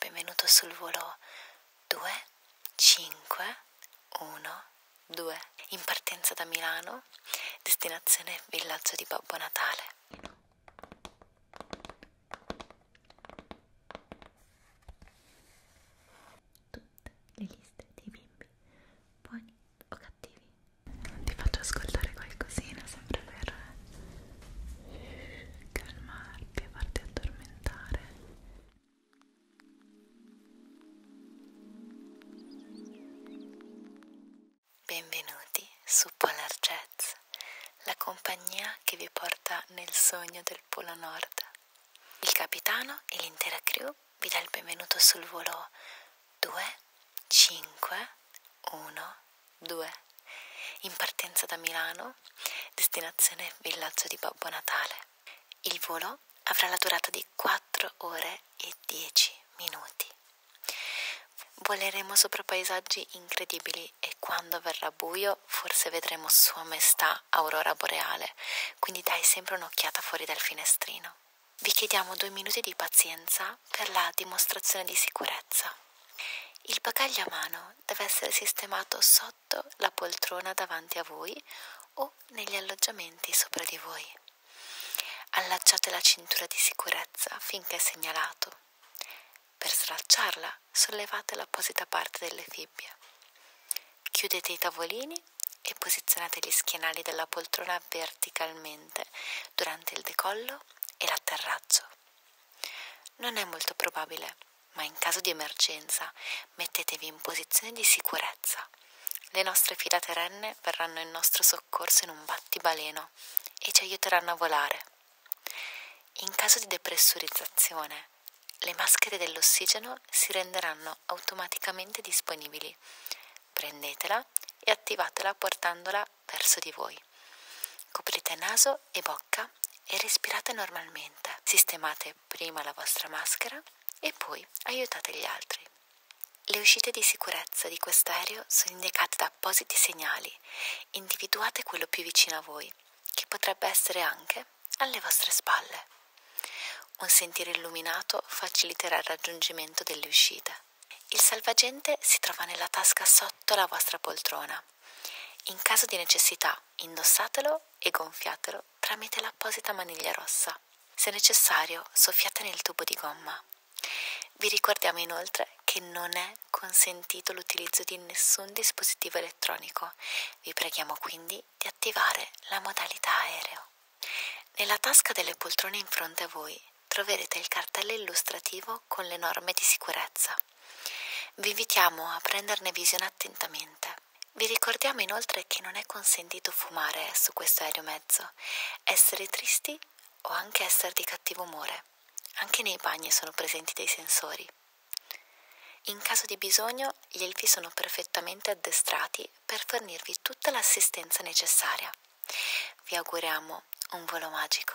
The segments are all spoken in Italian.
Benvenuto sul volo 2, 5, 1, 2. In partenza da Milano, destinazione villaggio di Babbo Natale. Tutte le liste dei bimbi, buoni o cattivi. Ti faccio ascoltare qualcosina sempre per calmarti e farti addormentare benvenuti su Polar Jets la compagnia che vi porta nel sogno del Polo Nord il capitano e l'intera crew vi dà il benvenuto sul volo 2 5 1 2 in partenza da Milano, destinazione villaggio di Babbo Natale. Il volo avrà la durata di 4 ore e 10 minuti. Voleremo sopra paesaggi incredibili e quando verrà buio forse vedremo Sua Maestà Aurora Boreale, quindi dai sempre un'occhiata fuori dal finestrino. Vi chiediamo due minuti di pazienza per la dimostrazione di sicurezza. Il bagaglio a mano deve essere sistemato sotto sotto la poltrona davanti a voi o negli alloggiamenti sopra di voi. Allacciate la cintura di sicurezza finché è segnalato. Per slacciarla sollevate l'apposita parte delle fibbie. Chiudete i tavolini e posizionate gli schienali della poltrona verticalmente durante il decollo e l'atterraggio. Non è molto probabile ma in caso di emergenza mettetevi in posizione di sicurezza. Le nostre fila terrene verranno in nostro soccorso in un battibaleno e ci aiuteranno a volare. In caso di depressurizzazione, le maschere dell'ossigeno si renderanno automaticamente disponibili. Prendetela e attivatela portandola verso di voi. Coprite naso e bocca e respirate normalmente. Sistemate prima la vostra maschera e poi aiutate gli altri. Le uscite di sicurezza di quest'aereo sono indicate da appositi segnali. Individuate quello più vicino a voi, che potrebbe essere anche alle vostre spalle. Un sentiero illuminato faciliterà il raggiungimento delle uscite. Il salvagente si trova nella tasca sotto la vostra poltrona. In caso di necessità, indossatelo e gonfiatelo tramite l'apposita maniglia rossa. Se necessario, soffiate nel tubo di gomma. Vi ricordiamo inoltre che non è consentito l'utilizzo di nessun dispositivo elettronico. Vi preghiamo quindi di attivare la modalità aereo. Nella tasca delle poltrone in fronte a voi troverete il cartello illustrativo con le norme di sicurezza. Vi invitiamo a prenderne visione attentamente. Vi ricordiamo inoltre che non è consentito fumare su questo aeromezzo, essere tristi o anche essere di cattivo umore. Anche nei bagni sono presenti dei sensori. In caso di bisogno, gli elfi sono perfettamente addestrati per fornirvi tutta l'assistenza necessaria. Vi auguriamo un volo magico.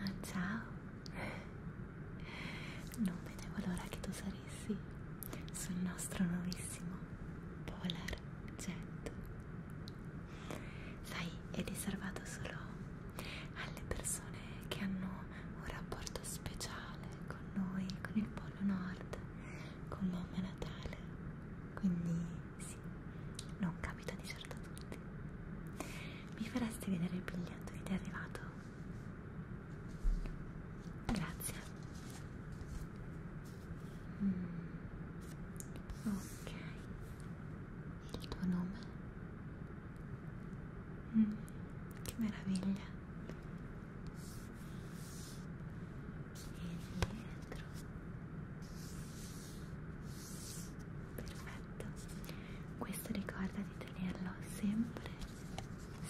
Ma ciao, non vedevo l'ora che tu saressi sul nostro nuovissimo Polar Jet. Sai, è riservato solo alle persone che hanno un rapporto speciale con noi, con il Polo Nord, con Mamma Natale. Quindi sì, non capita di certo a tutti. Mi faresti vedere il biglietto che ti è arrivato? Grazie. Mm. Ok. Il tuo nome? Mm. Che meraviglia dietro perfetto questo ricorda di tenerlo sempre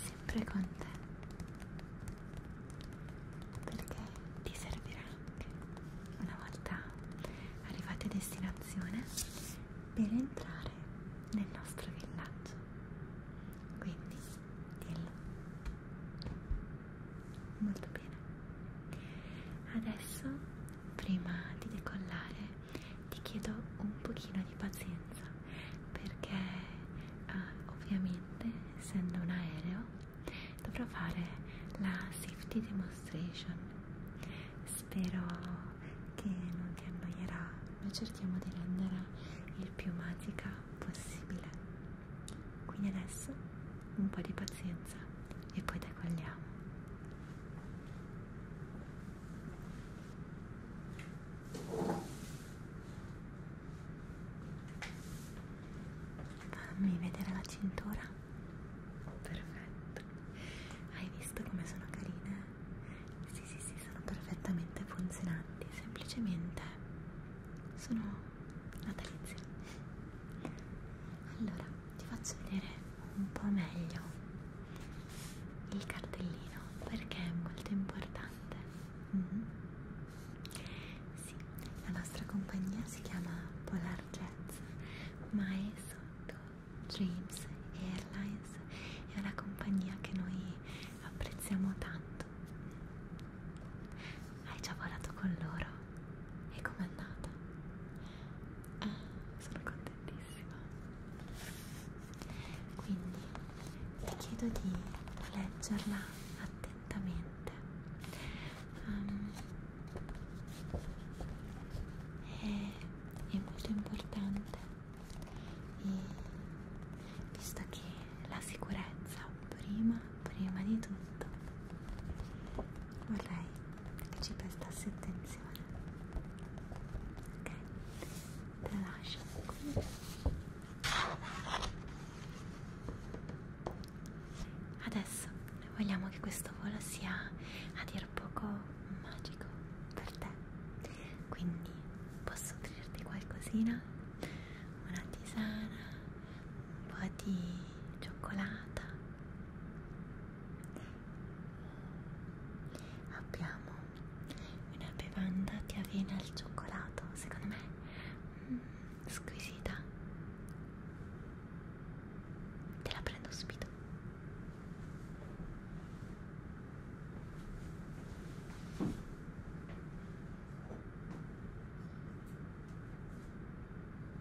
sempre con te perché ti servirà anche una volta arrivati a destinazione per entrare nel nostro villaggio quindi dillo molto bene adesso prima di decollare ti chiedo un pochino di pazienza perché uh, ovviamente essendo un aereo dovrò fare la safety demonstration spero che non ti annoierà noi cerchiamo di rendere il più magica possibile quindi adesso un po' di pazienza e poi decolliamo. Fammi vedere la cintura. Perfetto. Hai visto come sono carine? Sì, sì, sì, sono perfettamente funzionanti. Semplicemente sono natalizia allora ti faccio vedere un po' meglio il cartellino perché è molto importante mm -hmm. sì, la nostra compagnia si chiama Polar Jets ma è sotto Dreams Airlines è una compagnia che noi apprezziamo tanto hai già volato con loro? E com'è andata? Ah, sono contentissima. Quindi ti chiedo di leggerla attentamente. Um, è, è molto importante e visto che la sicurezza prima prima di tutto vorrei che ci prestasse attenzione ok te la lascio qui adesso vogliamo che questo volo sia a dir poco magico per te quindi posso offrirti qualcosina una tisana un po' di cioccolata abbiamo una bevanda di avena al cioccolato secondo me mm, squisita te la prendo subito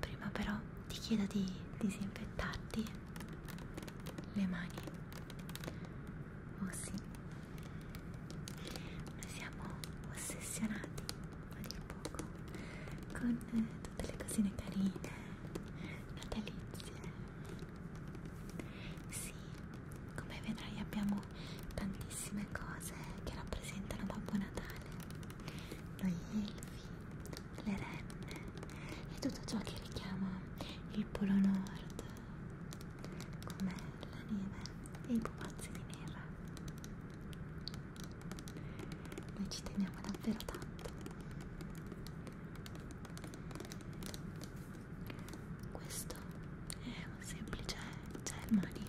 Prima però ti chiedo di disinfettarti le mani. Oh sì, noi siamo ossessionati a dir poco con eh, tutte le cosine carine, natalizie. Sì, come vedrai abbiamo tantissime cose che rappresentano Babbo Natale, noi elfi, le renne e tutto ciò che richiama il Polo Nord, come la neve e i pupazzi di neve. Noi ci teniamo davvero tanto. Questo è un semplice gel cioè, mani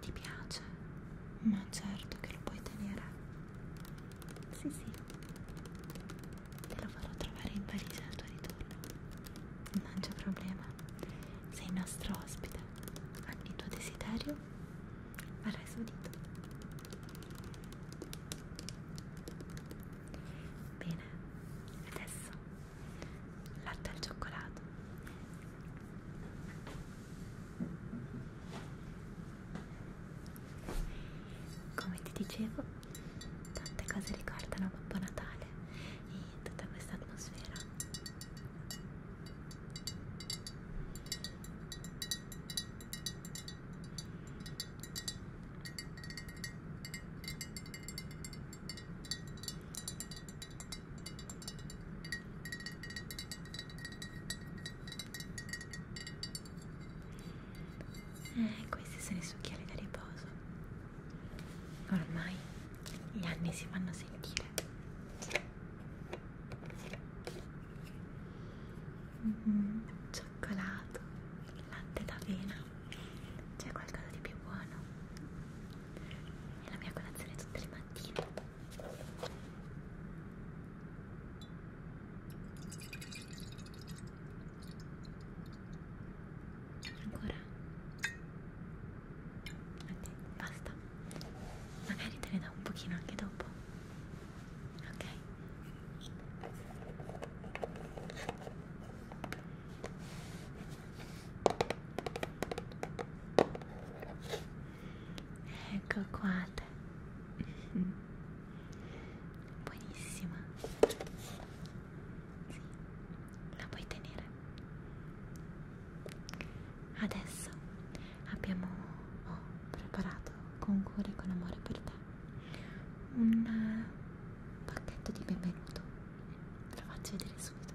Ti piace? Ma certo che lo puoi tenere. Sì, sì. Te lo farò trovare in Parigi al tuo ritorno. Non c'è problema. Sei nostro ospite. Ogni tuo desiderio verrà esaudito. Bene, adesso latte al cioccolato. Come ti dicevo, tante cose ricordano Babbo Natale e tutta questa atmosfera. Eh, questi sono i suoi occhiali da riposo. Ormai gli anni si fanno sentire. Mm -hmm. Cioccolato, latte d'avena, c'è qualcosa di più buono. È la mia colazione tutte le mattine. ancora Aspetta, basta magari te ne do un pochino anche dopo ok ecco qua buonissima sì, la puoi tenere adesso abbiamo ho oh, preparato con cuore e con amore per te un pacchetto di benvenuto te lo faccio vedere subito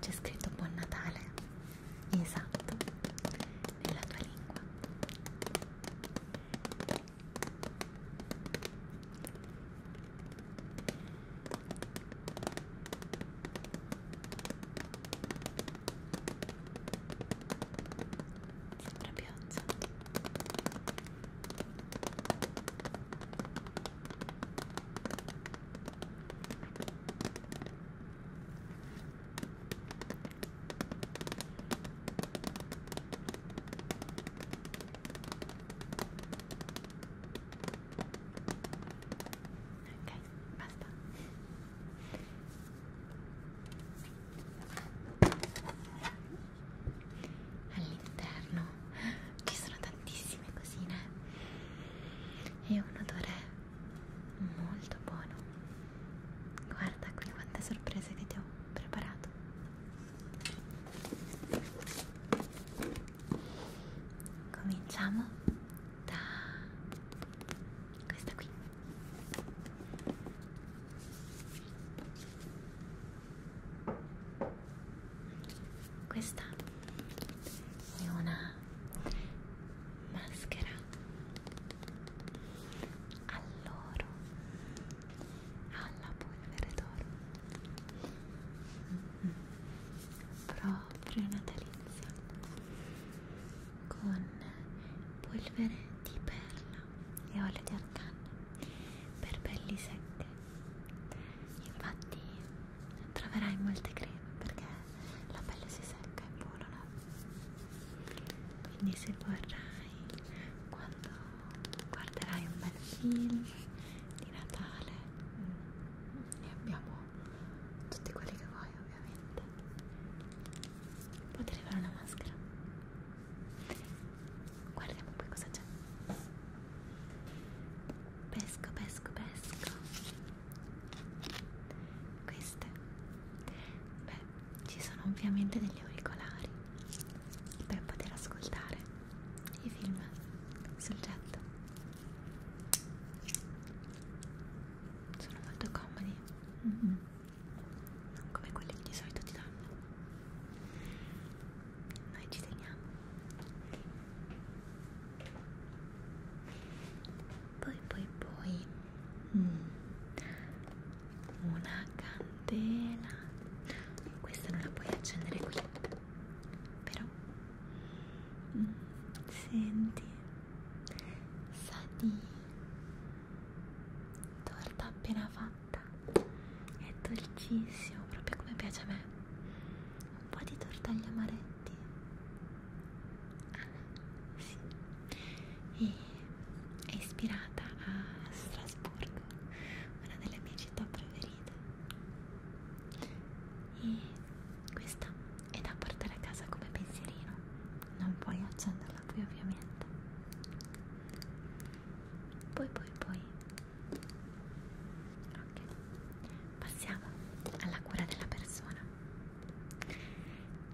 C'è scritto Buon Natale, esatto, nella tua lingua. Sembra pioggia. Buon Ok, basta. All'interno ci sono tantissime tantissime cosine e un odore molto buono guarda qui quante sorprese che ti ho preparato cominciamo da questa qui questa e una maschera all'oro alla polvere d'oro mm -hmm. proprio natalizia con polvere di perla e olio di argan per pelli secche infatti troverai molte creme perché la pelle si secca e volano quindi se vorrai quando guarderai un bel film di Natale ne mm, abbiamo tutti quelli che vuoi ovviamente puoi arrivare una maschera guardiamo poi cosa c'è pesco pesco pesco queste beh ci sono ovviamente degli auricolari per poter ascoltare i film sul jet sono molto comodi mm -hmm. non come quelli che di solito ti danno noi ci teniamo poi poi poi mm. una candela questa non la puoi accendere qui però mm. senti sa di torta appena fatta è dolcissimo proprio come piace a me un po' di tortaglia amaretta avanti ah, sì. e è ispirata a Strasburgo una delle mie città preferite e questa è da portare a casa come pensierino non puoi accenderla qui ovviamente poi poi poi ok passiamo alla cura della persona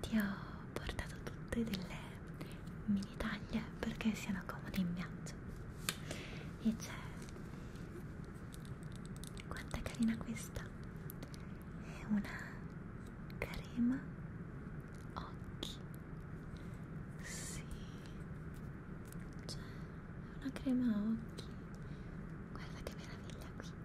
ti ho portato tutte delle mini taglie perché siano comode in viaggio e c'è quanto è carina questa è una crema occhi sì c'è una crema occhi guarda che meraviglia qui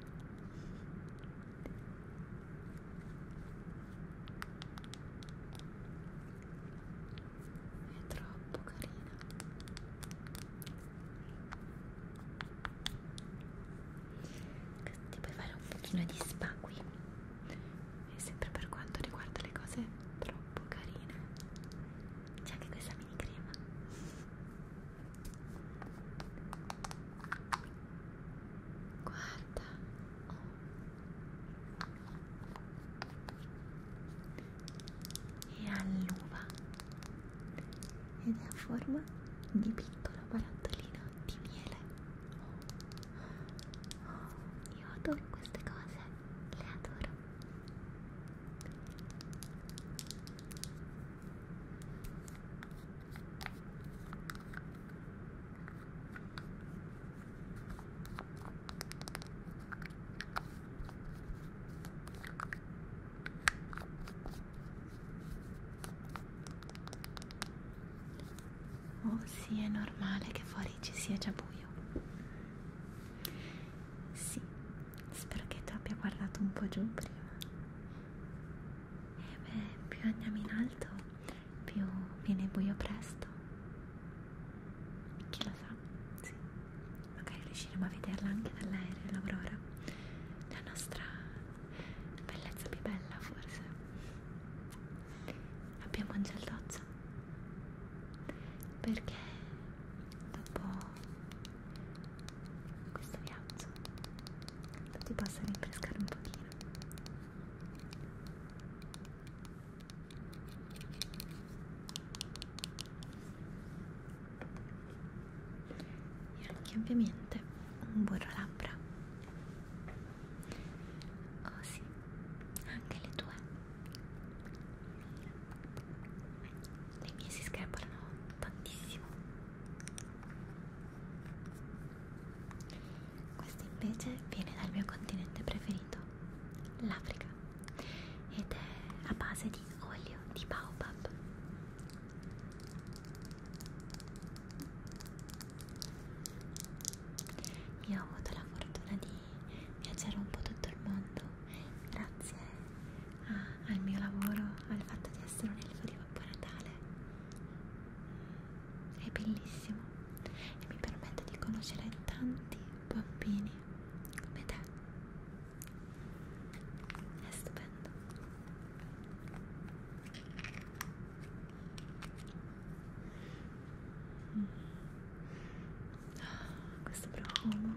è troppo carina. Ti puoi fare un pochino di spa qui. E sempre per quanto riguarda le cose troppo carine. C'è anche questa mini crema. Guarda, oh. è all'uva ed è a forma di piccolo barattolino di miele. Oh. Oh. Io adoro queste cose, le adoro. Oh sì, è normale che fuori ci sia già buio. Sì, spero che tu abbia guardato un po' giù prima. E beh, più andiamo in alto, più viene buio presto. Chi lo sa? Sì. Magari riusciremo a vederla anche dall'aereo, l'aurora. La nostra bellezza più bella, forse. Abbiamo un geldozzo. Perché dopo questo viaggio ti possa rinfrescare un pochino e anche ovviamente un burro labbra oh sì anche le tue le mie si screpolano tantissimo questo invece viene dal mio continente preferito, l'Africa, ed è a base di olio di baobab. Io ho avuto la fortuna di viaggiare un po' tutto il mondo grazie a, al mio lavoro, al fatto di essere un elfo di Babbo Natale. È bellissimo e mi permette di conoscere tanti bambini come te. È stupendo. Mm. Oh, questo profumo,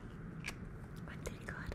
quanti ricordi.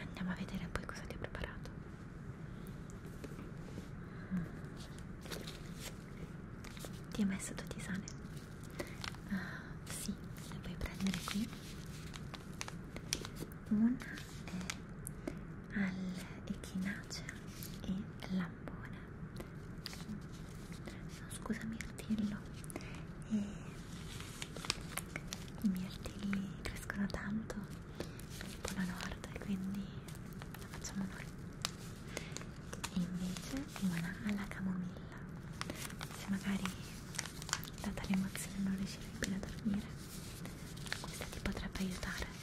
Andiamo a vedere poi cosa ti ho preparato. Mm. Ti hai messo due tisane? Ah, sì, le puoi prendere qui. Una è all'echinacea e lambone. No, scusami, il tillo. E i miei artigli crescono tanto nel polo nord e quindi la facciamo noi e invece rimane alla camomilla se magari data l'emozione non riuscirai più a dormire questa ti potrebbe aiutare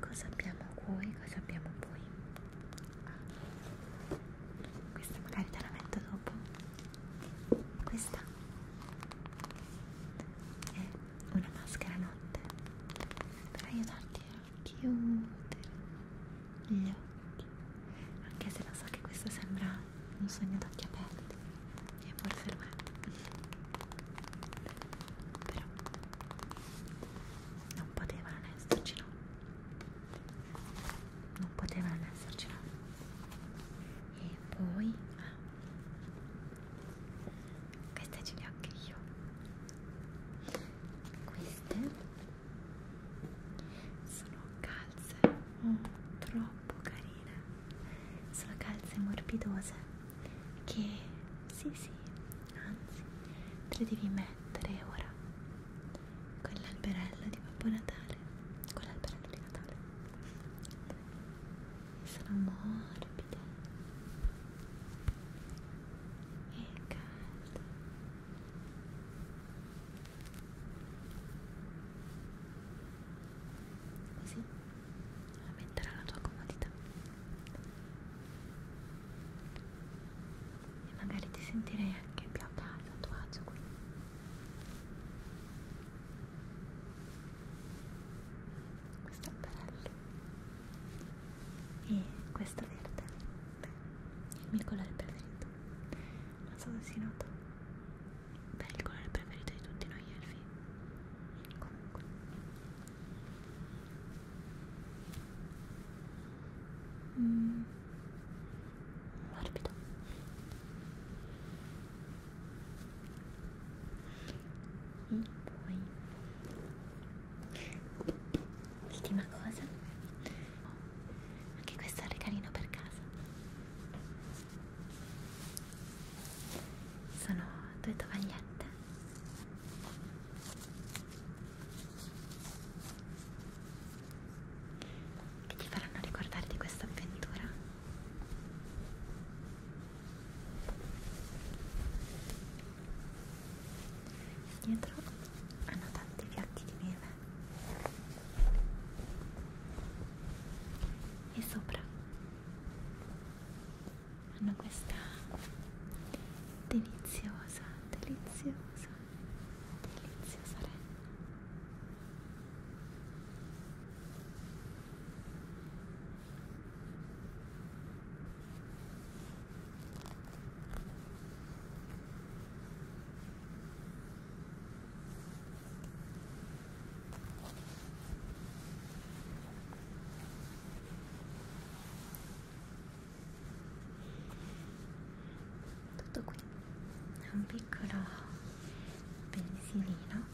Cosa abbiamo qui? Cosa abbiamo poi? Ah. Questa magari te la metto dopo. Questa è una maschera notte per aiutarti a chiudere gli occhi. Anche se lo so che questo sembra un sogno ad occhi aperti e forse lo è però non poteva non esserci no non poteva non esserci no e poi ah, queste ce le ho anche io queste sono calze oh, troppo carine carine, sono calze morbidose che sì sì, anzi te le devi mettere ora con l'alberello di Babbo Natale, con l'alberello di Natale sono morbide e calde così aumenterà la tua comodità e magari ti sentirei anche più a casa a tuo agio qui questo è bello e questo verde beh, è il mio colore preferito non so se si nota per il colore preferito di tutti noi elfi comunque mm. morbido e poi ultima cosa oh, anche questo è carino per casa sono due tovagliette che ti faranno ricordare di questa avventura dietro hanno tanti piatti di neve e sopra hanno questa deliziosa, deliziosa, deliziosa renna tutto qui è un piccolo pensilino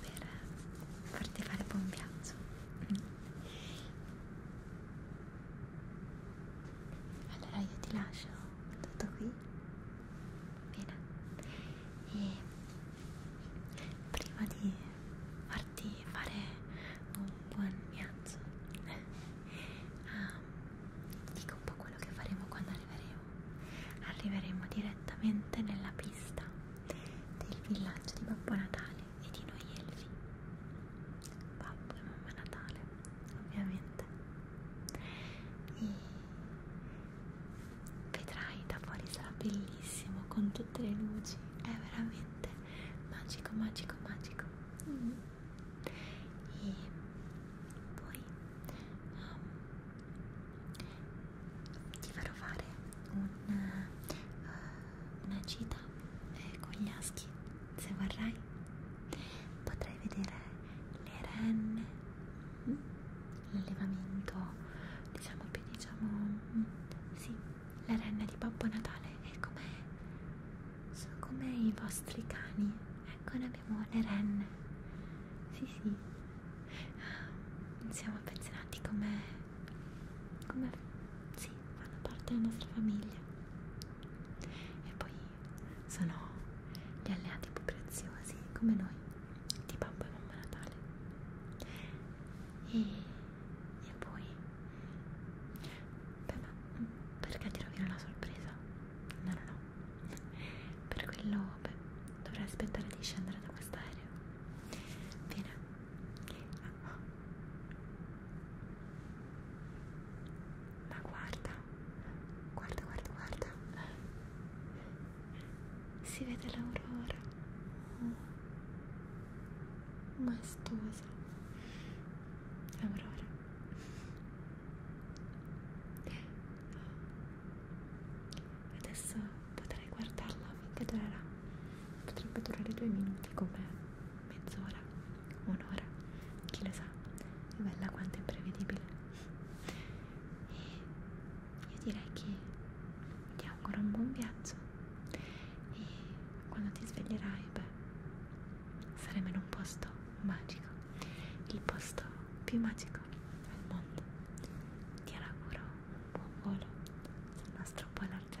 per farti fare buon viaggio allora io ti lascio tutto qui bene e prima di farti fare un buon viaggio um, ah, dico un po' quello che faremo quando arriveremo arriveremo direttamente nella pista del villaggio di Babbo Natale e di noi elfi Babbo e Mamma Natale ovviamente e vedrai da fuori sarà bellissimo con tutte le luci è veramente magico magico magico mm. e poi um, ti farò fare una, uh, una gita eh, con gli aschi se vorrai potrai vedere le renne Mm? l'allevamento diciamo più diciamo mm, sì le renne di Babbo Natale è come sono come i vostri cani ecco ne abbiamo le renne sì sì ah, siamo affezionati come come sì fanno parte della nostra famiglia e poi sono gli alleati più preziosi come noi di Babbo e Mamma Natale e, e poi beh, ma mm, perché ti rovino la sorpresa? no no no per quello beh, dovrai aspettare di scendere da quest'aereo bene ma guarda, guarda, guarda, guarda, si vede l'aurora, oh. Mm. maestosa, aurora, oh. adesso potrei guardarla finché durerà, potrebbe durare due minuti come mezz'ora, un'ora, chi lo sa, è bella quanto imprevedibile e io direi che ti auguro un buon viaggio e quando ti sveglierai beh saremo in un posto magico il posto più magico al mondo ti auguro un buon volo sul nostro Polar Jet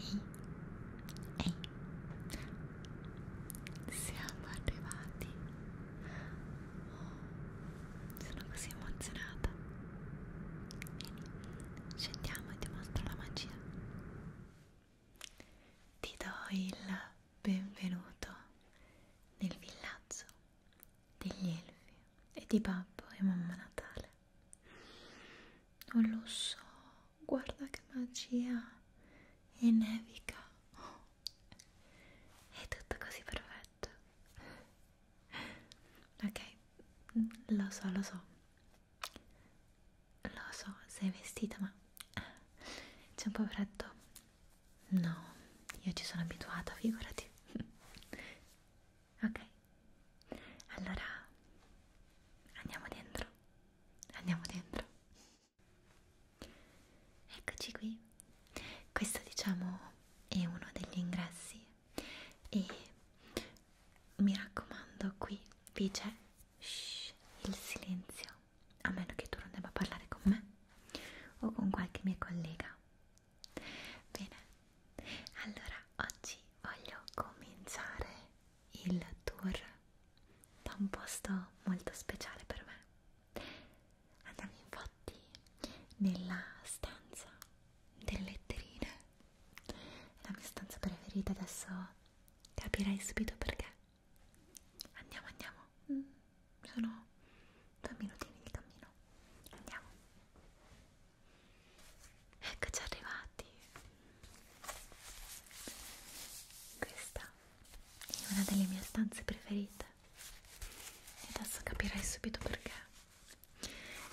Ehi, ehi, siamo arrivati. Oh, sono così emozionata. Vieni, scendiamo e ti mostro la magia. Ti do il benvenuto nel villaggio degli elfi e di Babbo e Mamma Natale. Non lo so, guarda che magia e nevica. Oh. È tutto così perfetto. Ok, lo so, lo so. Lo so, sei vestita, ma c'è un po' freddo. No, io ci sono abituata, figurati. ok, allora andiamo dentro. Andiamo dentro. Eccoci qui. Questo, diciamo, è uno degli ingressi e mi raccomando qui vi c'è il silenzio a meno che tu non debba parlare con me o con qualche mia collega bene allora oggi voglio cominciare il tour da un posto molto speciale per me andiamo infatti nella stanza delle letterine è la mia stanza preferita, adesso capirai subito perché. Andiamo, andiamo. Mm, sono due minutini di cammino. Andiamo. Eccoci arrivati. Questa è una delle mie stanze preferite. E adesso capirai subito perché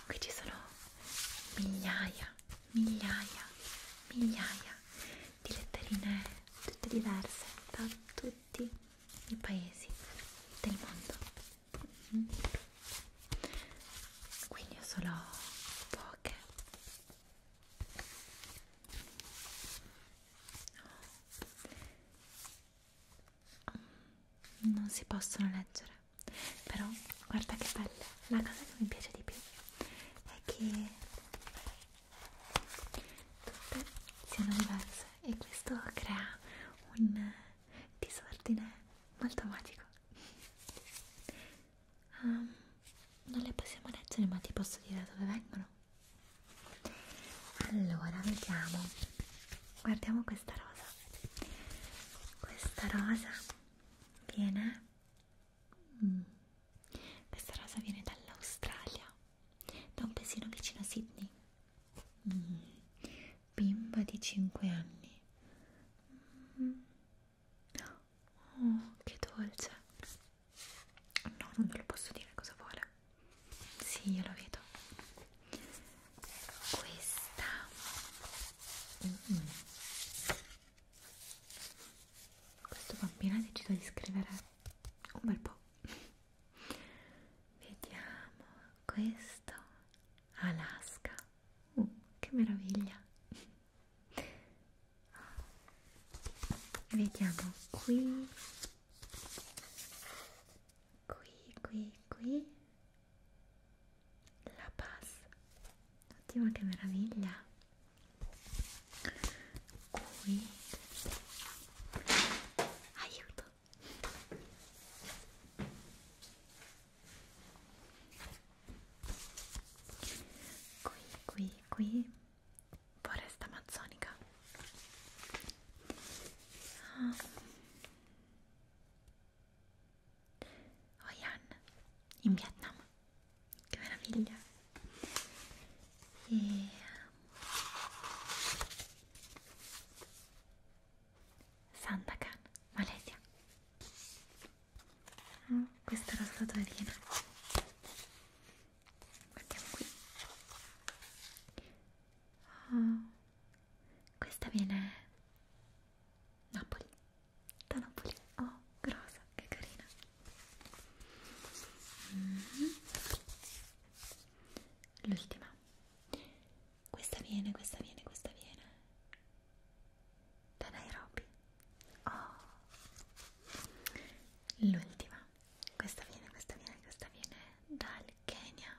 qui ci sono migliaia, migliaia, migliaia di letterine tutte diverse da tutti i paesi del mondo mm-hmm. quindi ho solo poche oh. non si possono leggere però guarda che bella la cosa che mi piace di più è che tutte siano diverse e questo crea un disordine molto magico um, non le possiamo leggere ma ti posso dire da dove vengono allora vediamo guardiamo questa rosa questa rosa Viene? Mm. Questa rosa viene dall'Australia, da un paesino vicino a Sydney. Mm. Bimba di 5 anni. Mm. Oh, che dolce! No, non ve lo posso dire cosa vuole. Sì, io lo vedo. Questa. Mm -hmm questo bambino ha deciso di scrivere un bel po' vediamo questo Alaska uh, che meraviglia vediamo qui qui qui qui la paz oddio che meraviglia qui aiuto qui qui qui foresta amazzonica ah. Hoi oh, An in Vietnam che meraviglia e um, Sandakan, Malesia oh, questa era la statuerina guardiamo qui oh, questa viene Napoli da Napoli. Oh, grossa, che carina. Mm -hmm. L'ultima. Questa viene, questa viene, questa viene. Da Nairobi. Oh. L'ultima. Questa viene, questa viene, questa viene dal Kenya.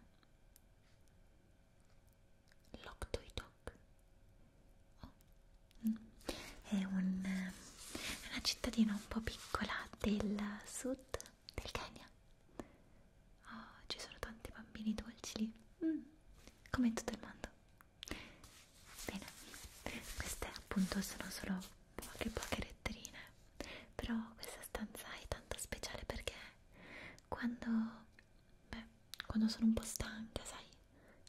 Loktoidok oh. mm. è un, eh, una cittadina un po' piccola del sud del Kenya oh, ci sono tanti bambini dolci lì mm. come in tutto il mondo bene queste appunto sono solo poche poche letterine però questa stanza è tanto speciale perché quando Beh, quando sono un po' stanca, sai,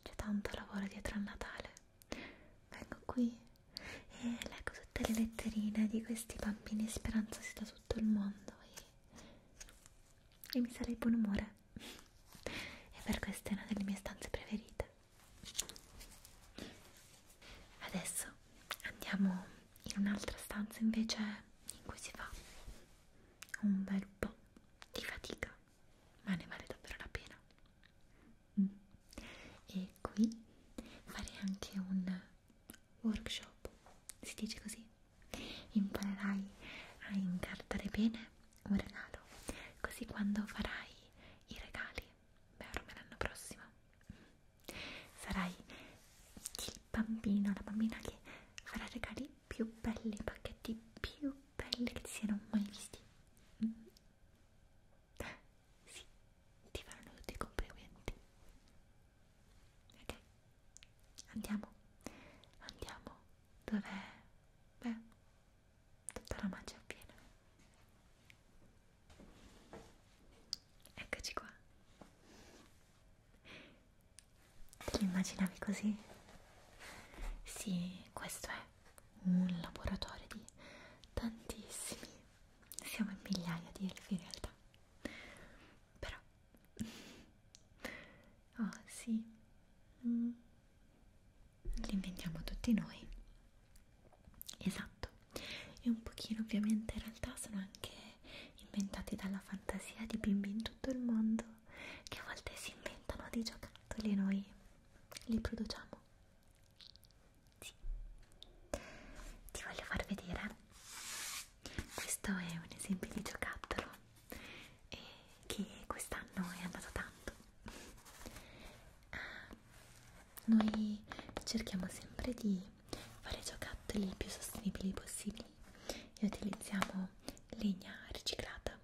c'è tanto lavoro dietro al Natale. Vengo qui e leggo tutte le letterine di questi bambini speranzosi da tutto il mondo e, e mi sarei buon umore. E per questa è una delle mie stanze preferite. Adesso andiamo in un'altra stanza invece in cui si fa un bel po' di fatica ma ne vale davvero la pena. Mm. E qui farei anche un workshop, si dice così? Imparerai a incartare bene un regalo, così quando farai i regali, beh ormai l'anno prossimo, sarai il bambino, la bambina che farà regali più belli, i pacchetti più pelle che ti siano mai visti mm -hmm. sì, ti faranno tutti i complimenti ok, andiamo andiamo dov'è? beh, tutta la magia piena eccoci qua Te lo immaginavi così? Sì, questo è un laboratorio di tantissimi, siamo in migliaia di elfi in realtà, però, oh sì, mm. li inventiamo tutti noi, esatto, e un pochino ovviamente in realtà sono anche inventati dalla fantasia di bimbi in tutto il mondo che a volte si inventano dei giocattoli e noi li produciamo. Sì. Ti voglio far vedere. Questo è un esempio di giocattolo eh, che quest'anno è andato tanto. Ah, noi cerchiamo sempre di fare giocattoli il più sostenibili possibili e utilizziamo legna riciclata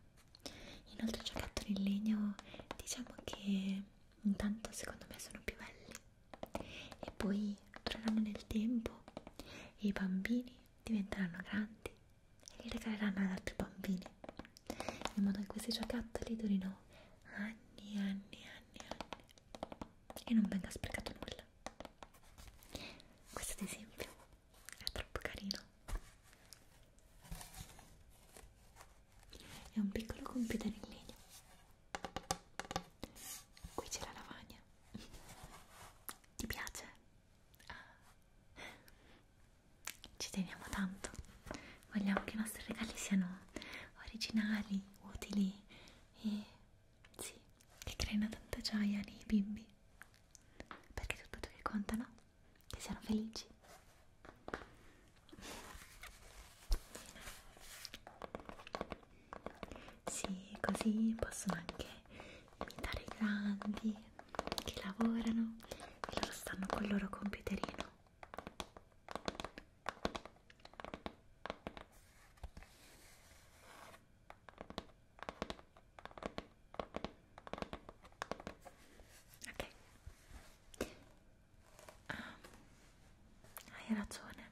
Inoltre i giocattoli in legno diciamo che intanto secondo me sono più belli e poi dureranno nel tempo e i bambini diventeranno grandi e li regaleranno ad altri bambini in modo che questi giocattoli durino anni, anni, anni, anni e non venga sprecato nulla. Questo ad esempio è troppo carino è un piccolo computer in legno qui c'è la lavagna ti piace? Ah. ci teniamo tanto vogliamo che i nostri regali siano originali, utili e sì, che creino tanta gioia nei bimbi perché è tutto ciò che conta, no? che siano felici sì, così possono anche imitare i grandi che lavorano e loro stanno col loro computerino ok ah, hai ragione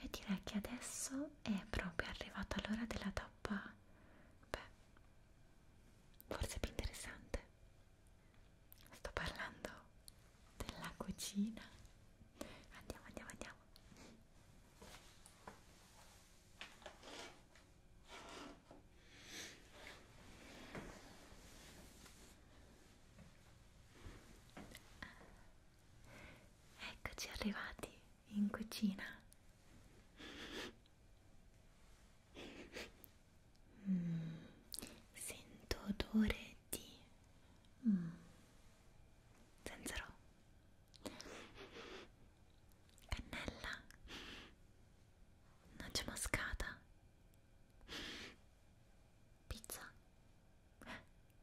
e direi che adesso è proprio arrivata l'ora della tappa beh forse più interessante sto parlando della cucina andiamo andiamo andiamo Eccoci arrivati in cucina. Mm, sento odore di mm, zenzero. Cannella? Noce moscata? Pizza?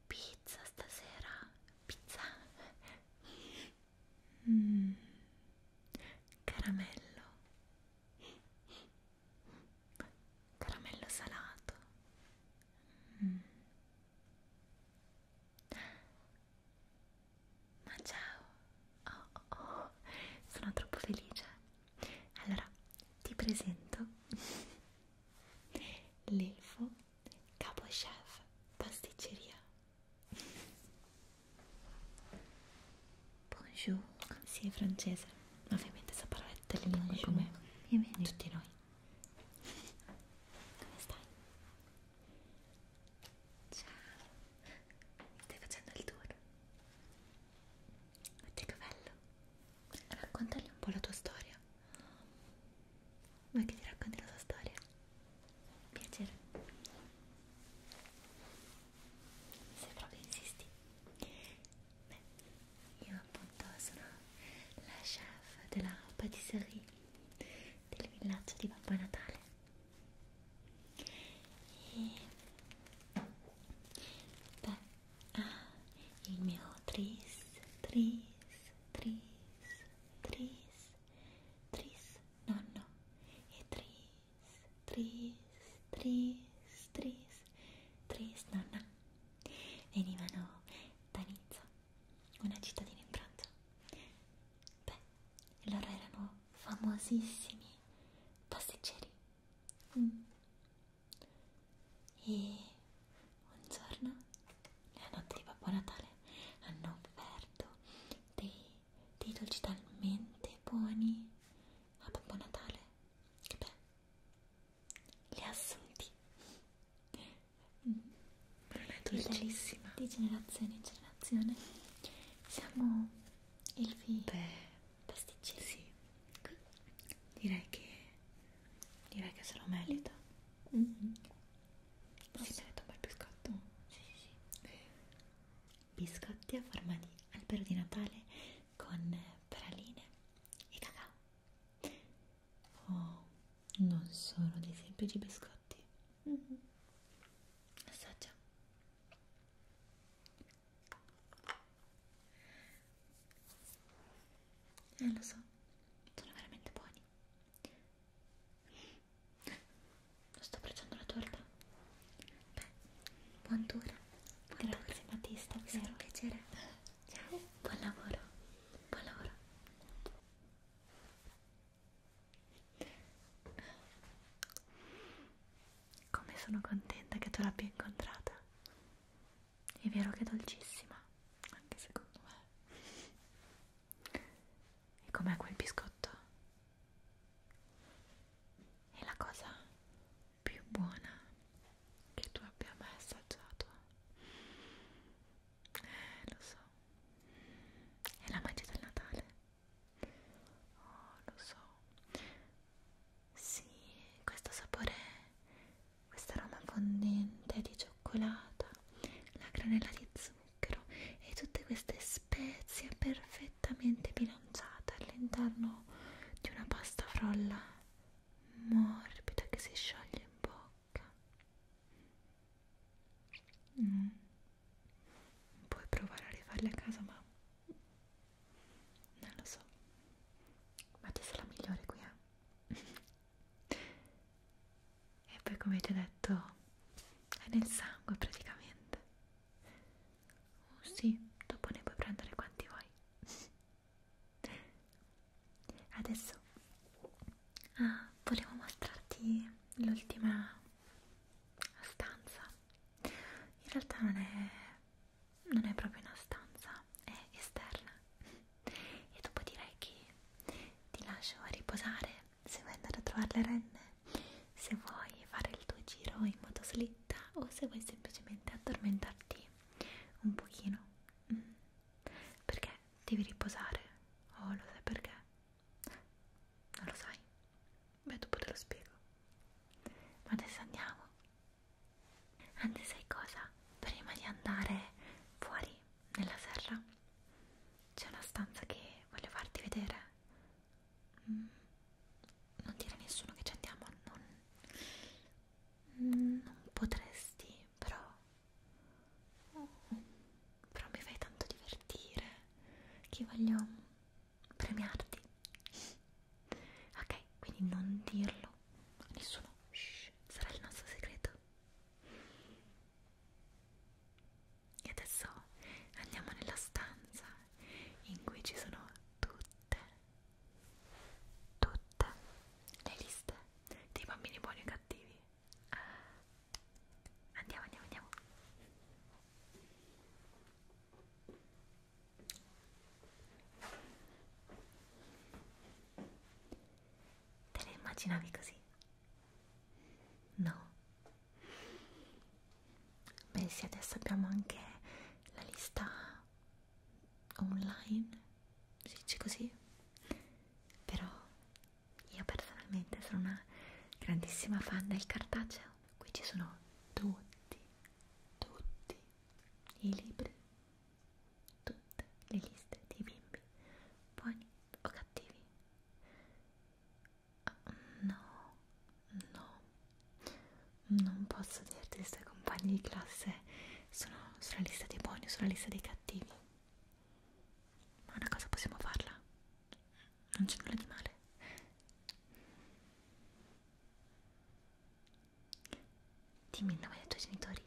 Pizza stasera? Pizza? Mm. Caramello? Caramello salato? Mm. Ma ciao! Oh, oh, oh. Sono troppo felice. Allora, ti presento l'elfo capo chef pasticceria. Bonjour. Sì, è francese. Ovviamente sa parlare tutte le lingue come tutti noi. Come stai? Ciao, stai facendo il tour? Guarda che bello! Raccontagli un po' la tua storia. Vuoi che ti racconti la tua storia? Piacere. Se proprio insisti. Beh, io appunto sono la chef della patisserie del villaggio di Babbo Natale. E beh, ah, il mio tris, tris, tris, tris, tris, nonno, e tris, tris, tris, tris, tris, nonna, venivano da Nizza, una cittadina in Francia. Beh, loro erano famosissimi pasticceri mm. e un giorno nella notte di Babbo Natale hanno offerto dei, dei dolci talmente buoni a Babbo Natale che beh li ha assunti mm. ma non è dolcissima di generazione in generazione siamo Elfi pasticceri? Sì. Qui? Direi che direi che se lo merita. Mm-hmm. Si merita un bel biscotto. Sì, sì, sì. Biscotti a forma di albero di Natale con praline e cacao. Oh, non sono dei semplici biscotti. Mm-hmm. Assaggia. Eh, lo so, sono veramente buoni. Non sto pregiando la torta. Beh, buon tour. Buon Grazie tour. Battista, è stato un piacere. Ciao. Buon lavoro. Buon lavoro. Come sono contenta che tu l'abbia incontrata. È vero che è dolcissima, anche secondo me. E com'è quel biscotto? È la cosa più buona che tu abbia mai assaggiato. Eh, lo so. È la magia del Natale. Oh, lo so. Sì, questo sapore, questa aroma fondente di cioccolata, la granella di zucchero e tutte queste spezie perfettamente bilanciate all'interno di una pasta frolla morbida che si scioglie in bocca. Mm, puoi provare a rifarli a casa ma non lo so ma te sei la migliore qui eh e poi come ti ho detto è nel sangue praticamente oh sì dopo ne puoi prendere quanti vuoi adesso ah, volevo mostrarti l'ultima la stanza in realtà non è, non è proprio una stanza, è esterna e dopo direi che ti lascio a riposare se vuoi andare a trovare le renne se vuoi fare il tuo giro in motoslitta o se vuoi semplicemente addormentarti un pochino mm. perché devi riposare oh lo sai perché? non lo sai Beh, dopo te lo spiego. Ma adesso andiamo. Anzi, sai cosa? Prima di andare fuori, nella serra, c'è una stanza che voglio farti vedere. Mm. Non dire a nessuno che ci andiamo, non, mm, non potresti, però... Oh, però mi fai tanto divertire che voglio premiarti ok quindi non dirlo a nessuno Shh, sarà il nostro segreto e adesso andiamo nella stanza in cui ci sono tutte tutte le liste dei bambini buoni e cattivi ah, andiamo andiamo andiamo Te le immaginavi così? No. Beh sì, adesso abbiamo anche la lista online, si dice così, però io personalmente sono una grandissima fan del cartaceo qui ci sono tutti, tutti i libri, tutte le liste dei bimbi, buoni o cattivi. No, no, non posso dirti se i tuoi compagni di classe sono sulla lista dei buoni o sulla lista dei cattivi. Ma una cosa possiamo farla, non c'è nulla di male. Dimmi il nome dei tuoi genitori.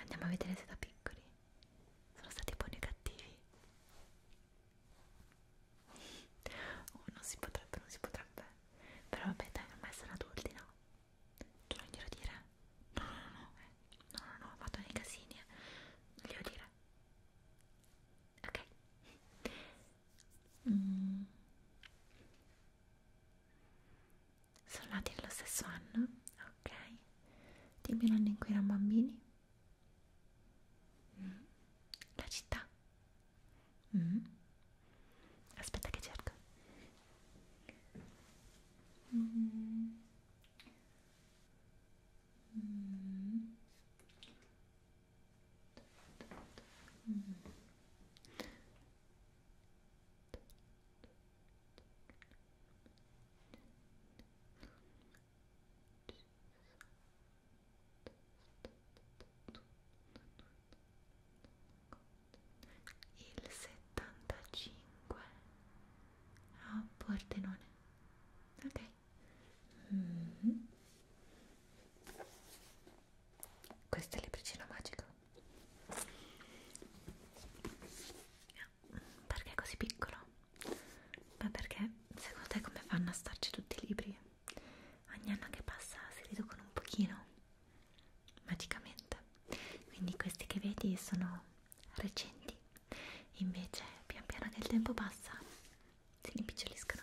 Andiamo a vedere se da piccoli sono stati buoni o cattivi. Oh, non si potrebbe, non si potrebbe. Però vabbè, dai, ormai sono adulti, no? Tu non glielo dire? No, no, no, eh. no, no, no, ho fatto nei casini. Eh. Non glielo dire. Ok mm. sono nati nello stesso anno ok dimmi l'anno in cui erano bambini mm. la città mm. aspetta che cerco mm. Mm. Mm. Il 75 a Pordenone. Ok. Mm -hmm. Questa è l'ebricina magica. Perché è così piccolo? Ma perché secondo te come fanno a starci tutti i libri? Ogni anno che passa si riducono un pochino, magicamente. Quindi questi che vedi sono recenti, invece pian piano che il tempo passa si rimpiccioliscono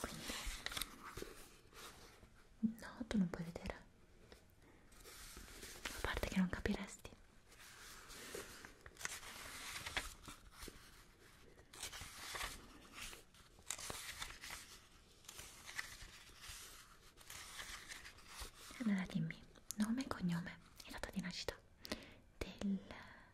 quindi no tu non puoi vedere a parte che non capiresti allora dimmi nome e cognome e data di nascita del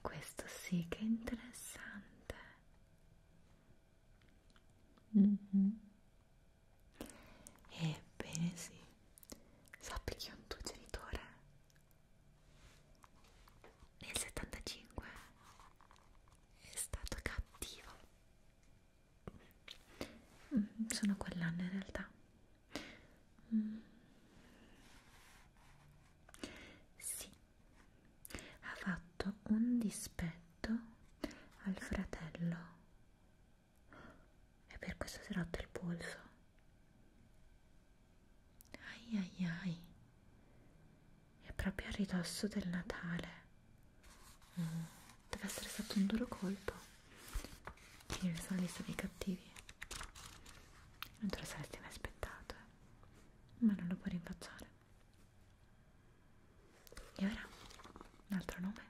Questo sì che è interessante. Mm -hmm. Ebbene sì, sappi che un tuo genitore nel 75 è stato cattivo. Mm, sono quell'anno in realtà. Mm. Sì, ha fatto un dispetto al fratello e per questo si è rotto il polso. Ai ai ai, è proprio a ridosso del Natale. Mm. Deve essere stato un duro colpo finire questa lista dei cattivi non te lo saresti mai aspettato eh? ma non lo puoi rinfacciare e ora un altro nome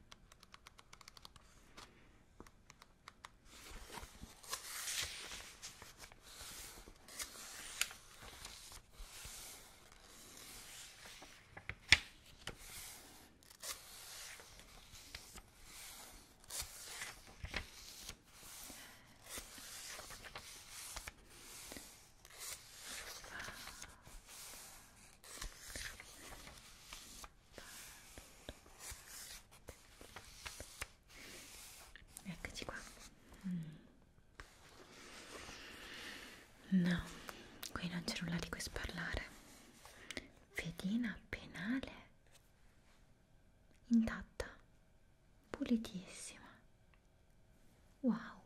Eccoci qua. No, qui non c'è nulla di cui sparlare. Fedina penale intatta, pulitissima. Wow.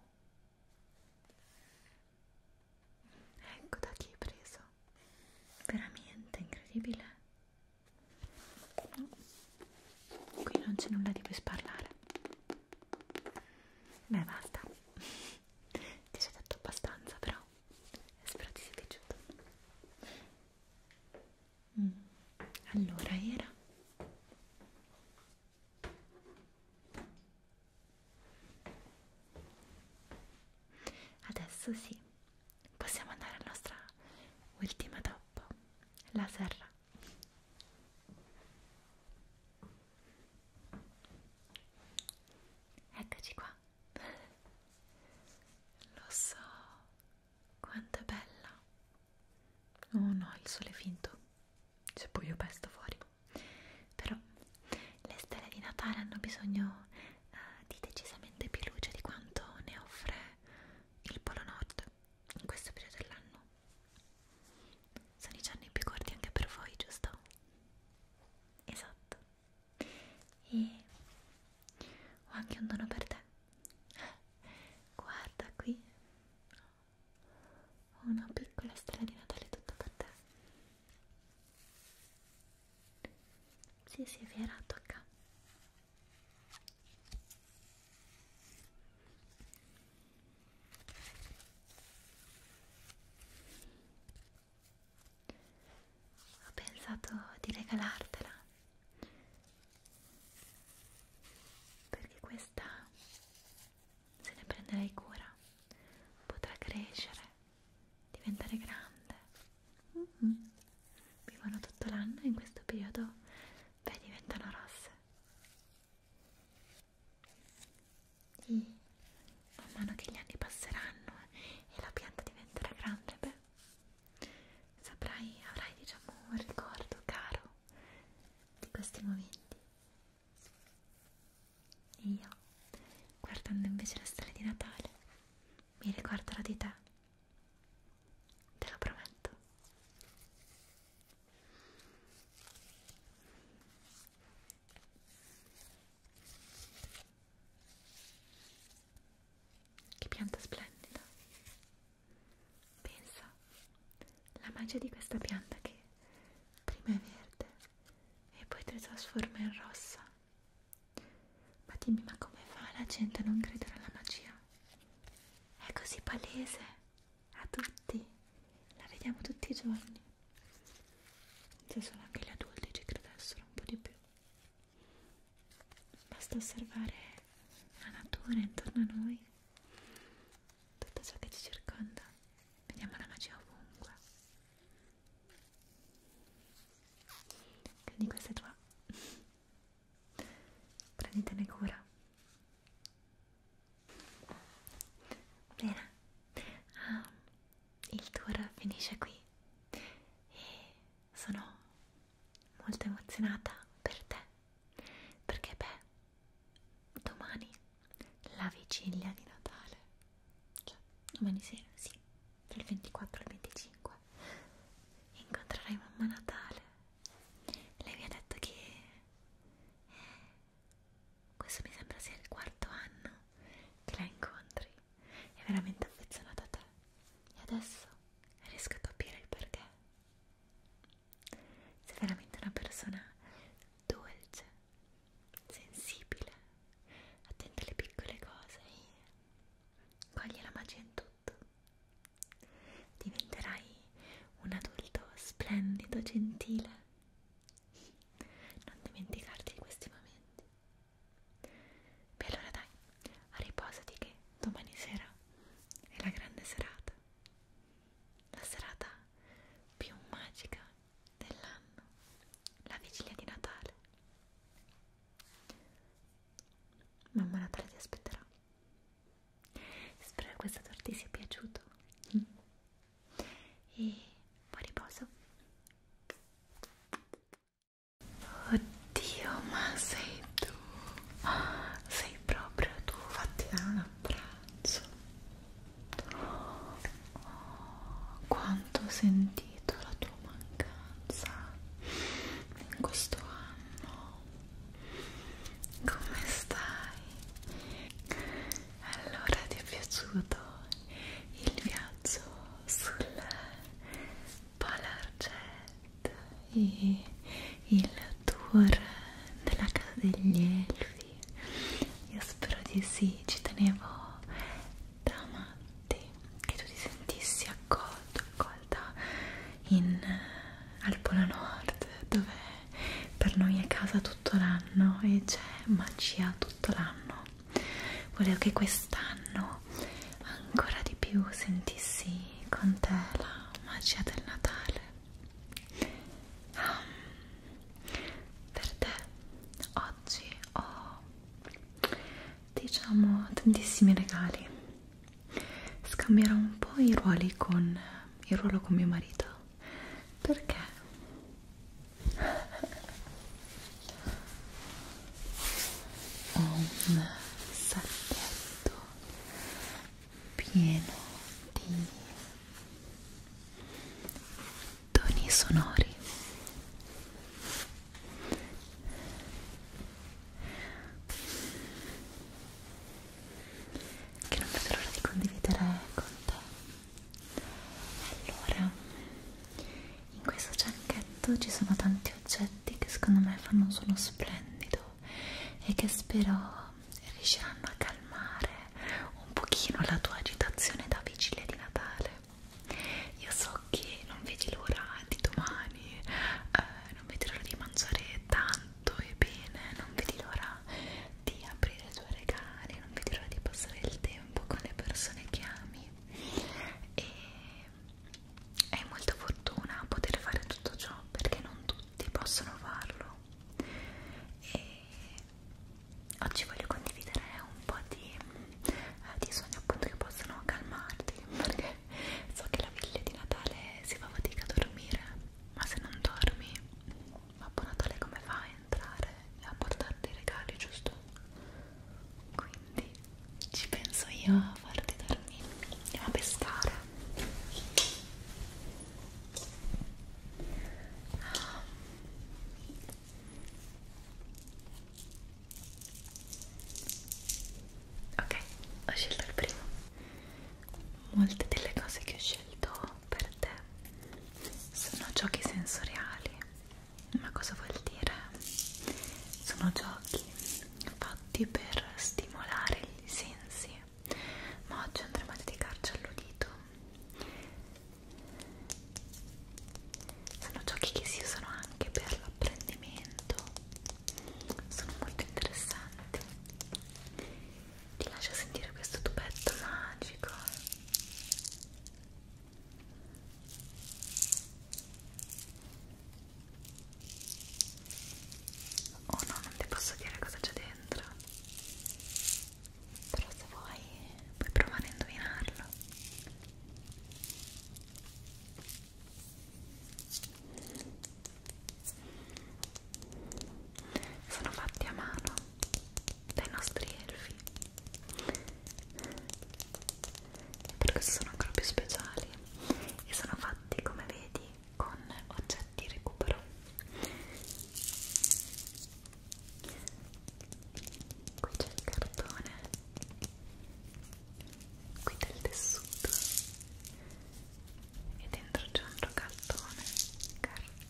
Ecco da chi è preso. Veramente incredibile. Qui non c'è nulla di cui sparlare. Beh, basta. Ti ho detto abbastanza, però spero ti sia piaciuto. Mm. Allora era adesso sì, possiamo andare alla nostra ultima tappa, la serra. Eccoci qua. Lo so, quanto è bella! Oh no, il sole è finto, c'è buio pesto fuori. Però le stelle di Natale hanno bisogno eh, di decisamente più luce di quanto ne offre il Polo Nord in questo periodo dell'anno. Sono i giorni più corti anche per voi, giusto? Esatto e ho anche un dono per te guarda qui ho una piccola stella di Natale tutta per te sì sì è vero tocca ho pensato di regalartela perché questa se ne prenderai cura potrà crescere diventare grande mm -hmm. vivono tutto l'anno e in questo periodo beh diventano rosse e man mano che gli anni passeranno eh, e la pianta diventerà grande beh te saprai, avrai diciamo un ricordo caro di questi momenti e io guardando invece la storia di Natale mi ricorderò di te te lo prometto che pianta splendida! Pensa la magia di questa pianta che prima è verde e poi ti trasforma in rossa. Ma dimmi, ma come fa la gente a non credere alla magia? È così palese a tutti, la vediamo tutti i giorni. Se solo anche gli adulti ci credessero un po' di più. Basta osservare la natura intorno a noi, tutto ciò che ci circonda, vediamo la magia ovunque. Quindi questa è tua. Prenditene cura. Bene, ah, il tour finisce qui e sono molto emozionata per te perché beh domani la vigilia di Natale cioè domani sera sì tra il 24 e il 25 incontrerai mamma Natale lei mi ha detto che eh, questo mi sembra sia il quarto anno che la incontri è veramente affezionata a te e adesso riesco a capire il perché. Sei veramente una persona dolce, sensibile, attenta alle piccole cose e coglie la magia in tutto. Diventerai un adulto splendido, gentile. Non dimenticarti di questi momenti. E allora dai, riposati che domani sera è la grande serata, la serata più magica dell'anno, la vigilia di Natale. Mamma Natale ti aspetterà. Spero che questo tour ti sia piaciuto. E buon riposo. Oddio, ma sei tu, sei proprio tu, fatti dare un abbraccio. Oh, quanto ho sentito la tua mancanza in questo anno. Come stai? Allora ti è piaciuto il viaggio sul Palarget e il tour della casa degli elfi io spero di sì, ci tenevo da matti che tu ti sentissi accolto, accolta in, al Polo Nord dove per noi è casa tutto l'anno e c'è magia tutto l'anno volevo che quest'anno ancora di più sentissi con te la magia del Natale. Um, per te oggi ho diciamo tantissimi regali. Scambierò un po' i ruoli con il ruolo con mio marito perché ho un sacchetto pieno di toni sonori che non vedo l'ora di condividere con te allora in questo giacchetto ci sono tanti oggetti che secondo me fanno un suono splendido e che spero riusciranno a calmare un pochino la tua agitazione da vigilia di Natale io so che non vedi l'ora di domani eh, non vedi l'ora di mangiare tanto e bene non vedi l'ora di aprire i tuoi regali non vedi l'ora di passare il tempo con le persone che ami e è molta fortuna poter fare tutto ciò perché non tutti possono farlo. E oggi voglio condividere un po' di, eh, di sogni appunto che possono calmarti perché so che la viglia di Natale si fa fatica a dormire, ma se non dormi, Babbo Natale come fa a entrare e a portarti i regali, giusto? Quindi ci penso io a farti dormire. Andiamo a pescare. Ah. Ok, ho scelto il primo. Molte delle cose che ho scelto per te sono giochi sensoriali. Ma cosa vuol dire? Sono giochi fatti per stimolare i sensi ma oggi andremo a dedicarci all'udito sono giochi che si usano anche per l'apprendimento sono molto interessanti ti lascio sentire questo tubetto magico Oh no, non ti posso dire cosa c'è dentro. Però se vuoi puoi provare a indovinarlo. Sono fatti a mano dai nostri elfi e per questo sono ancora più speciali e sono fatti come vedi con oggetti recupero qui c'è il cartone qui del tessuto e dentro c'è un cartone cartone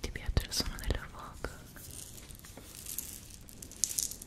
ti piace il suono della foca? Io lo amo tantissimo.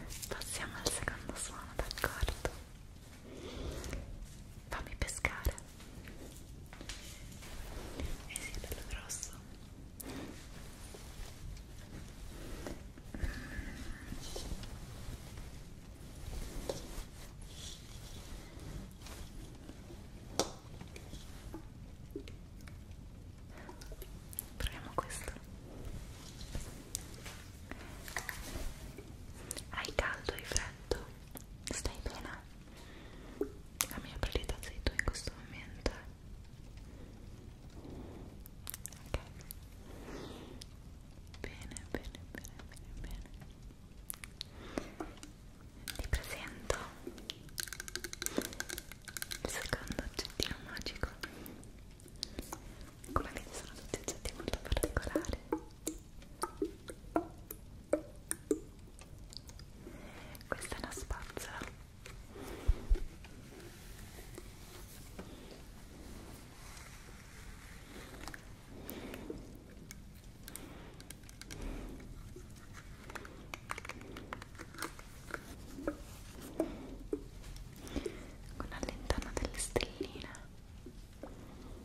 Ok, passiamo al secondo suono, d'accordo? Fammi pescare. Eh sì, è bello grosso. Proviamo questo. Hai caldo, hai freddo? Stai bene? la mia priorità sei tu in questo momento ok bene bene bene bene bene ti presento il secondo oggettino magico come vedi sono tutti oggetti molto particolari questa è una spazzola. Con all'interno delle stelline.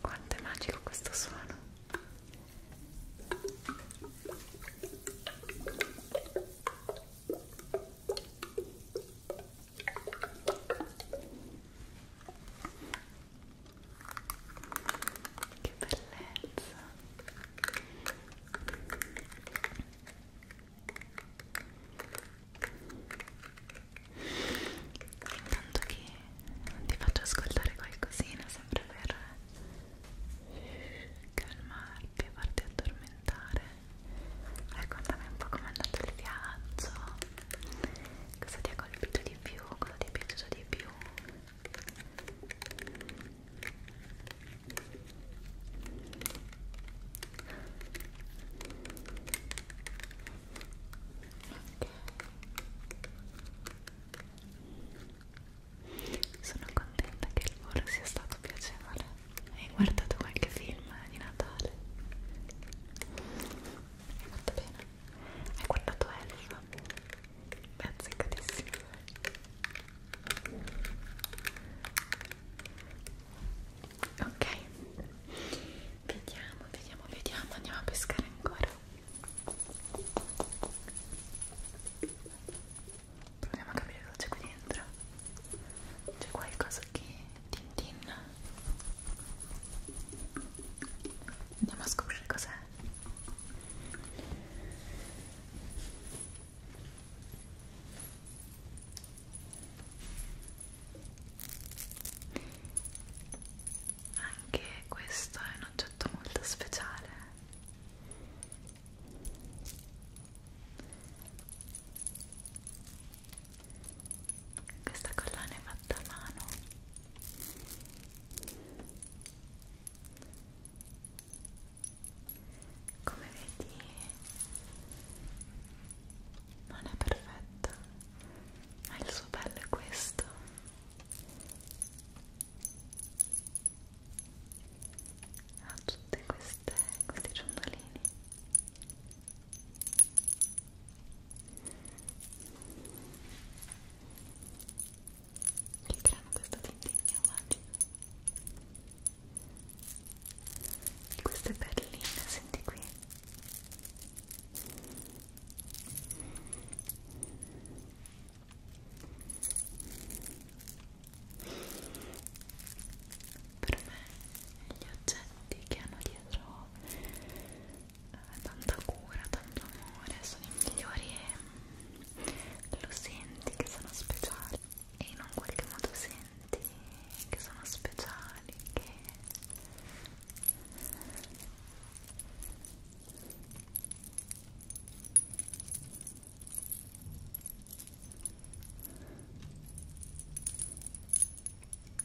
Quanto è magico questo suono. Che bellezza. Intanto che ti faccio ascoltare qualcosina, sempre per calmarti e farti addormentare raccontami un po' com'è andato il viaggio cosa ti ha colpito di più, cosa ti è piaciuto di più Okay. Sono contenta che il volo sia stato piacevole hai guardato qualche film di Natale? hai fatto bene? hai guardato Elsa? beh, azzeccatissimo ok vediamo, vediamo, vediamo andiamo a pescare ancora proviamo a capire cosa c'è qui dentro c'è qualcosa anche Tintin andiamo a scoprire cos'è anche questo è un oggetto molto speciale questa collana è fatta a mano come vedi non è perfetta ma il suo bello è questo ha tutti questi ciondolini che creano questo tintegno magico Queste perline, senti qui per me gli oggetti che hanno dietro eh, tanta cura, tanto amore sono i migliori e lo senti che sono speciali e in un qualche modo senti che sono speciali che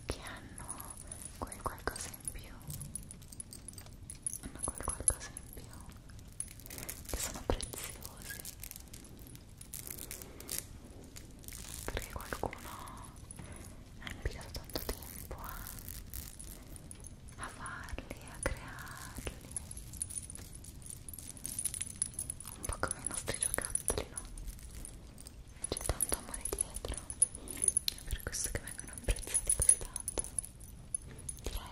che hanno quel qualcosa in più hanno quel qualcosa in più che sono preziosi perché qualcuno ha impiegato tanto tempo a, a farli, a crearli un po' come i nostri giocattoli, no? c'è tanto amore dietro è per questo che vengono apprezzati così tanto direi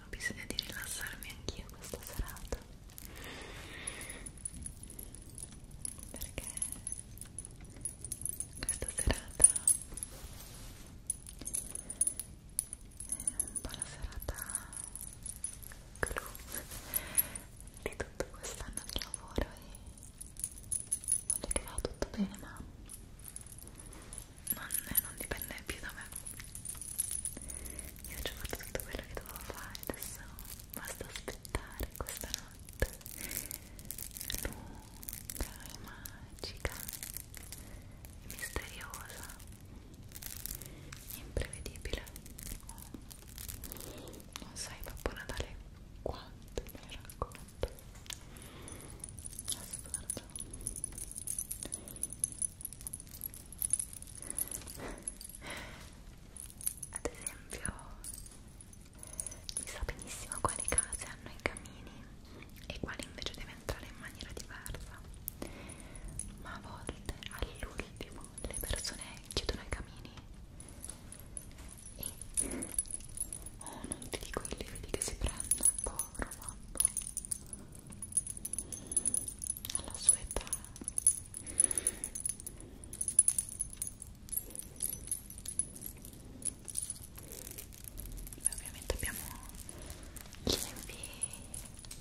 ho bisogno di rilassarmi anch'io questa serata perché questa serata è un po' la serata clou di tutto quest'anno di lavoro e voglio che vada tutto bene ma non, non dipende più da me io ho già fatto tutto quello che dovevo fare adesso basta aspettare questa notte lunga e magica e misteriosa imprevedibile oh, non sai Babbo Natale quanto me ne racconto assurdo ad esempio si sa benissimo quali case hanno i camini e quali invece deve entrare in maniera diversa ma a volte all'ultimo le persone chiudono i camini e oh non ti dico i lividi che si prendono povero babbo alla sua età Beh, ovviamente abbiamo gli esempi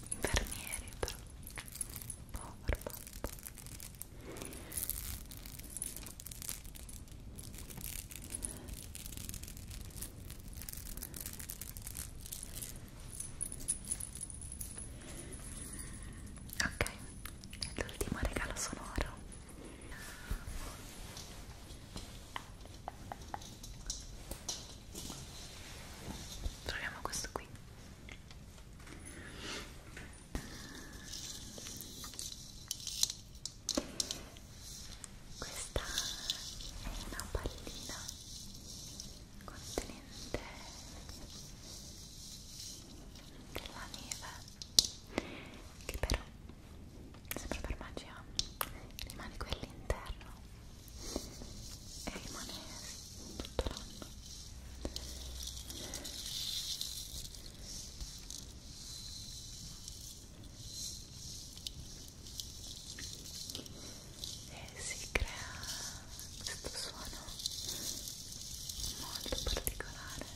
infermieri però povero papà ok l'ultimo regalo sonoro Proviamo questo qui. Questa è una pallina contenente della neve che però sempre per magia rimane quello interno e rimane tutto l'anno e si crea questo suono molto particolare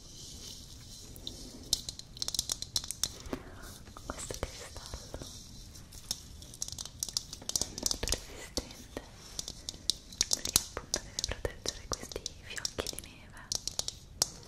questo cristallo è molto resistente perché appunto deve proteggere questi fiocchi di neve Ecco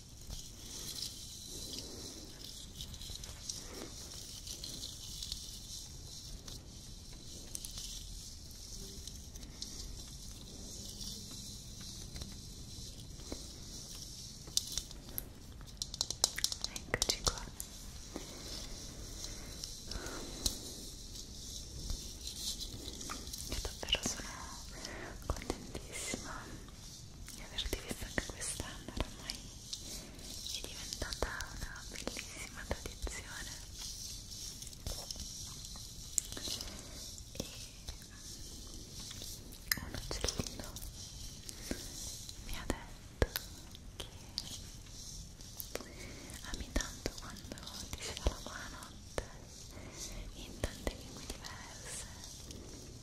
Eccoci qua. Io davvero sono contentissima di averti vista anche quest'anno ormai è diventata una bellissima tradizione e un uccellino mi ha detto che ami tanto quando ti si dà la buonanotte in tante lingue diverse e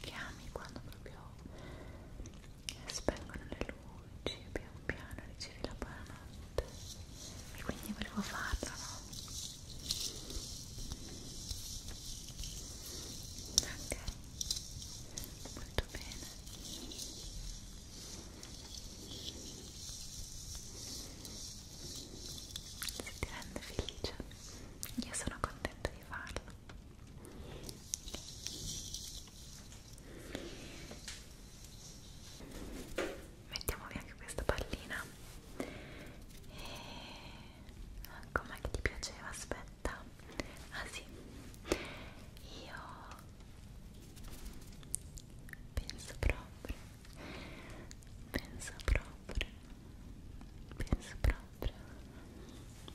chiami quando proprio spengono le luci e pian piano ricevi la buonanotte e quindi volevo farlo no? ok molto bene se ti rende felice io sono contenta di farlo mettiamo via anche questa pallina e eh, com'è che ti piaceva? aspetta ah sì io penso proprio penso proprio proprio penso proprio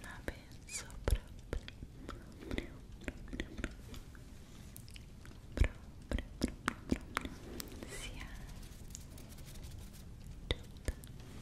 ma penso proprio proprio proprio proprio proprio proprio sia tutta allora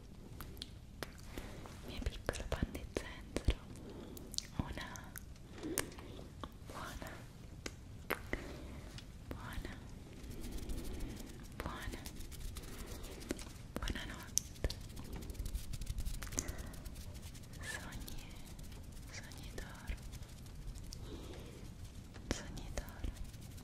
mia piccola panna di zenzero una buona buona buona buonanotte sogni sogni d'oro sogni d'oro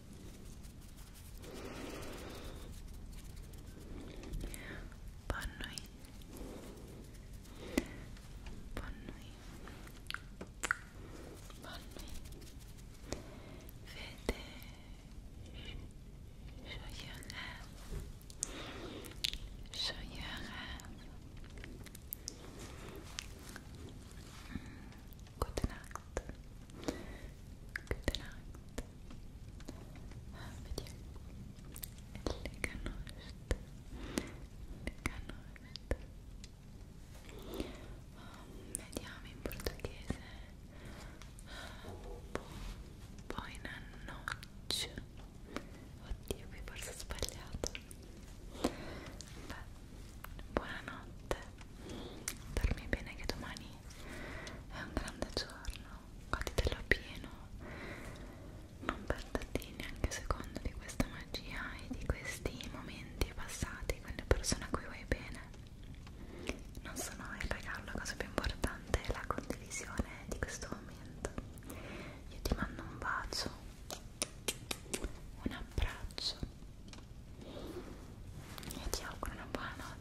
Bonne nuit. Bonne nuit. Bonne nuit. Faites joyeux rêve. Joyeux rêve. Mm, Good night good night have you lega notte lega notte vediamo in portoghese poi una noce oddio qui forse ho sbagliato beh buonanotte dormi bene che domani è un grande giorno goditelo pieno non perderti neanche un secondo di questa magia e di questi momenti passati con le persone a cui vuoi bene non sono il regalo la cosa più importante è la condivisione di questo momento io ti mando un bacio un abbraccio e ti auguro una buona notte